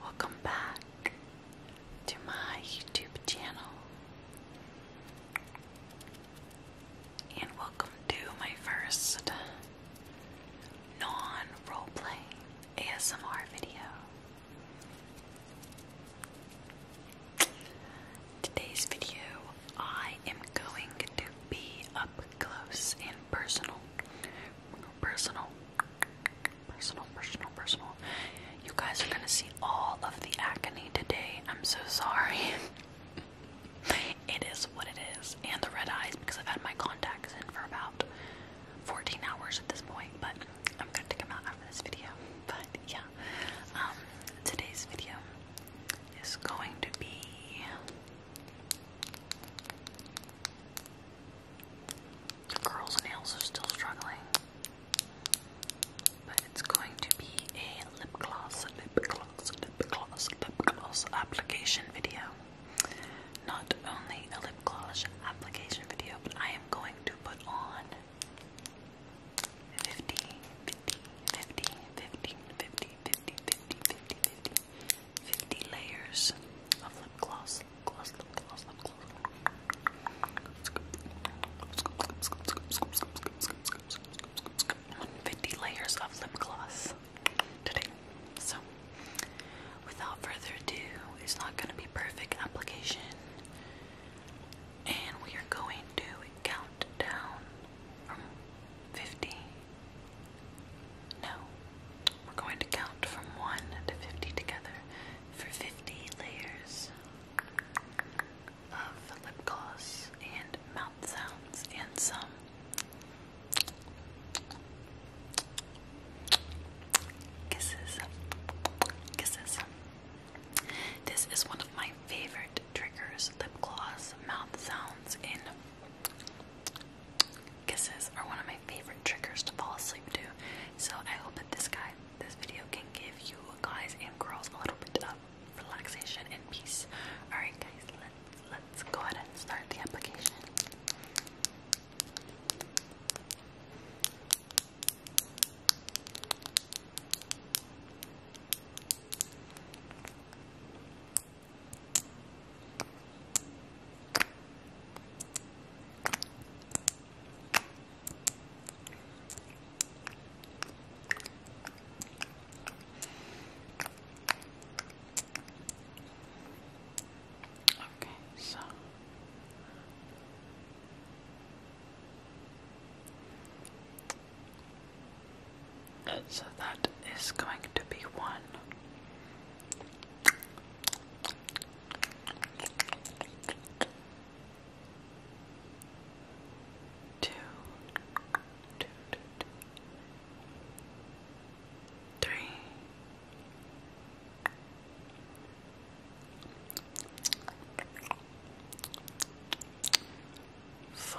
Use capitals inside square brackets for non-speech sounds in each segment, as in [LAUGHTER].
Welcome back to my YouTube channel. And welcome to my first non roleplay ASMR video. Today's video, I am going to be up close and personal personal, personal, personal, personal. You guys are gonna see all of the acne today. I'm so sorry. [LAUGHS] it is what it is, and the red eyes because I've had my contacts in for about 14 hours at this point. But I'm gonna take them out after this video. But yeah, um, today's video is going to be. The girl's nails are still struggling. But it's going to be a lip gloss, lip gloss, lip gloss, lip gloss application video. Not only a lip gloss application video, but I am going to put on 50, 50, 50, 50, 50, 50, 50, 50, 50, 50 50 layers of lip gloss. Fifty layers of lip gloss today. So, without further ado, it's not going to be perfect application, and we are going to count down from fifty. No, we're going to count from 1 to 50 together for 50 layers of lip gloss and mouth sounds and some kisses. Kisses. This is one of my favorite triggers lip gloss, mouth sounds, and Kisses are one of my favorite triggers to fall asleep to, so I hope that this guy, this video can give you guys and girls a little bit of relaxation and peace. Alright guys, let's let's go ahead and start the application. Okay, so uh, so that is going to be one Two, two, two, two. Three. Four,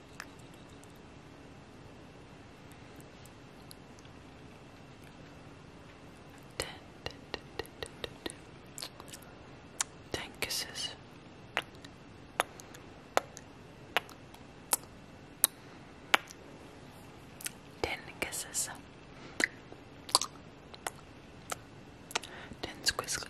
Ten kisses. Ten kisses. Ten squisses.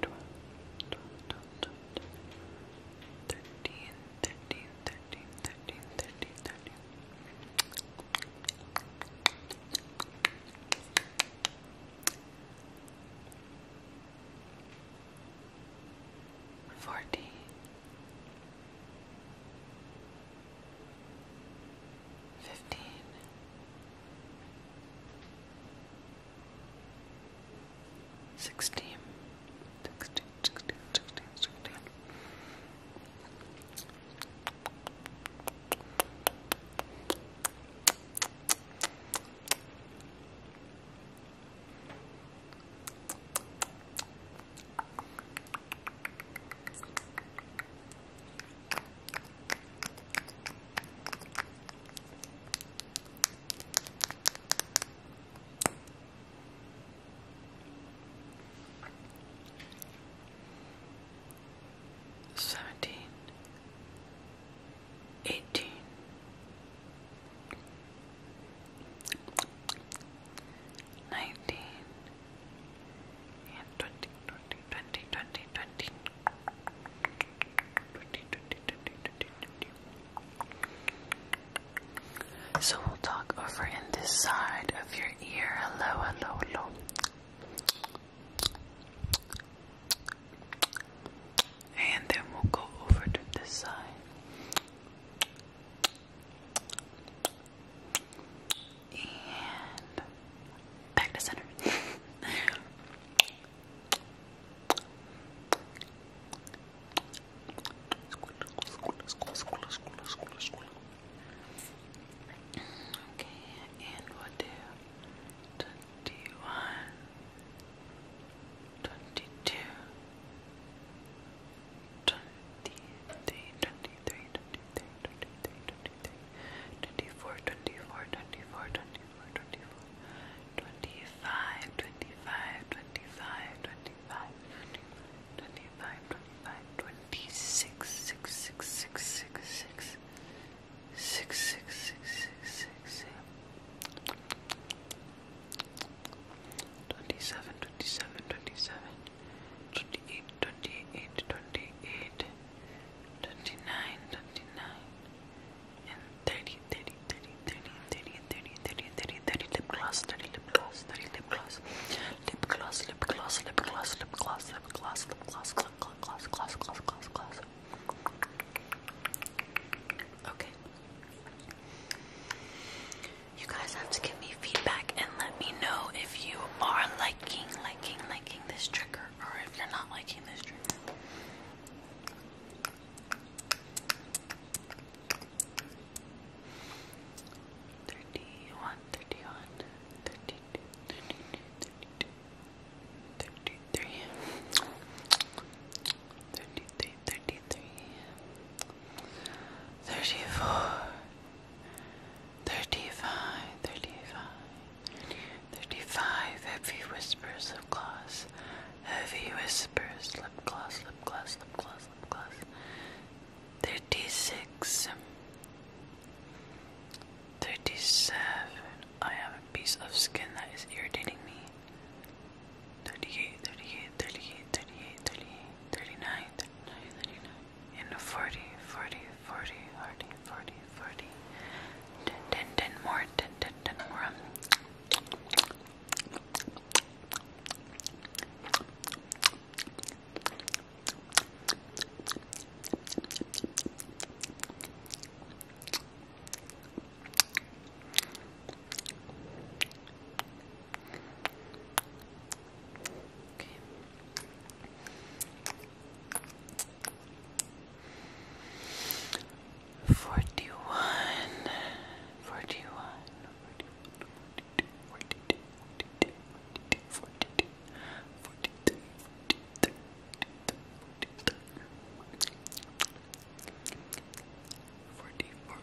twelve, twelve, twelve, twelve, thirteen, thirteen, thirteen, thirteen, thirteen, thirteen. Forty, fifteen, sixteen, sixteen, sixteen, sixteen, sixteen. Seventeen, eighteen, nineteen, and twenty, twenty, twenty, twenty, twenty. So we'll talk over in this side of your ear. Hello, hello, hello. And then we'll go over to this side. And back to center. Okay, and we do twenty one, twenty two, twenty three, twenty three, twenty three, twenty three, twenty 24, 24, 24, 24, 24, 25, 25, 25, 25, 25, 25, 26, 6, 6, 6, 6, 6, 6, 6, 6, 6, 6, 27, 27, 27, 28, 28, 28, 29, 29, and 30, 30, 30, 30, 30, 30, 30, 30, 30 lip gloss, 30 lip gloss, 30 lip gloss, lip gloss, lip gloss, lip gloss, lip gloss, lip gloss, lip gloss, gloss, gloss, gloss, gloss, gloss, gloss. Okay. You guys have to give me feedback and let me know if you are liking, liking liking this trigger or if you're not liking this trigger. Thirty-one, thirty-one, thirty-two, thirty-two, thirty-two, thirty-three, thirty-three, thirty-three, thirty-four, Thirty-five, thirty-five, thirty-five. Heavy whispers of gloss. Heavy whispers lip gloss, lip gloss, lip gloss, lip gloss. Thirty-seven. I have a piece of skin that is irritating me. 38, 38, 38, 39 and 40, 40, 40, 40, 40, 40, 10, 10, 10 more, 10, 10, 10 more. Okay. Um, Forty one, forty one, forty one, forty two, forty two, forty two, forty two, forty two, forty two, forty two, forty four, forty four,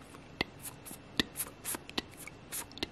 forty four, forty four, forty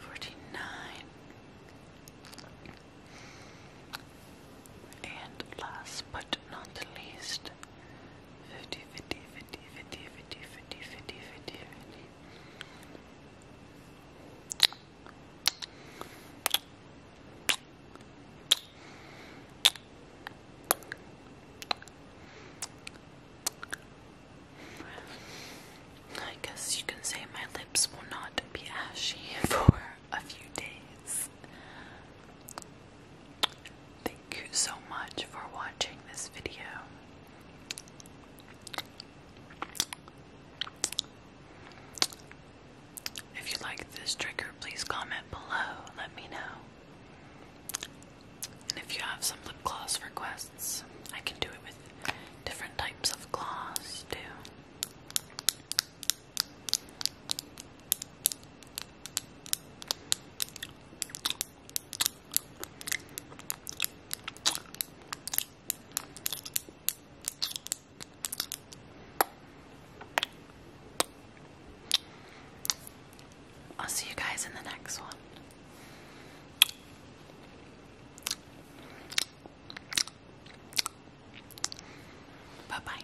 forty-nine, and last but not least, 50, I guess you can say my lips will not be ashy [LAUGHS] for a few days. Thank you so much for watching this video. If you like this trigger, please comment below. Let me know. And if you have some lip gloss requests, I can do it with different types of gloss too. I'll see you guys in the next one. Bye bye.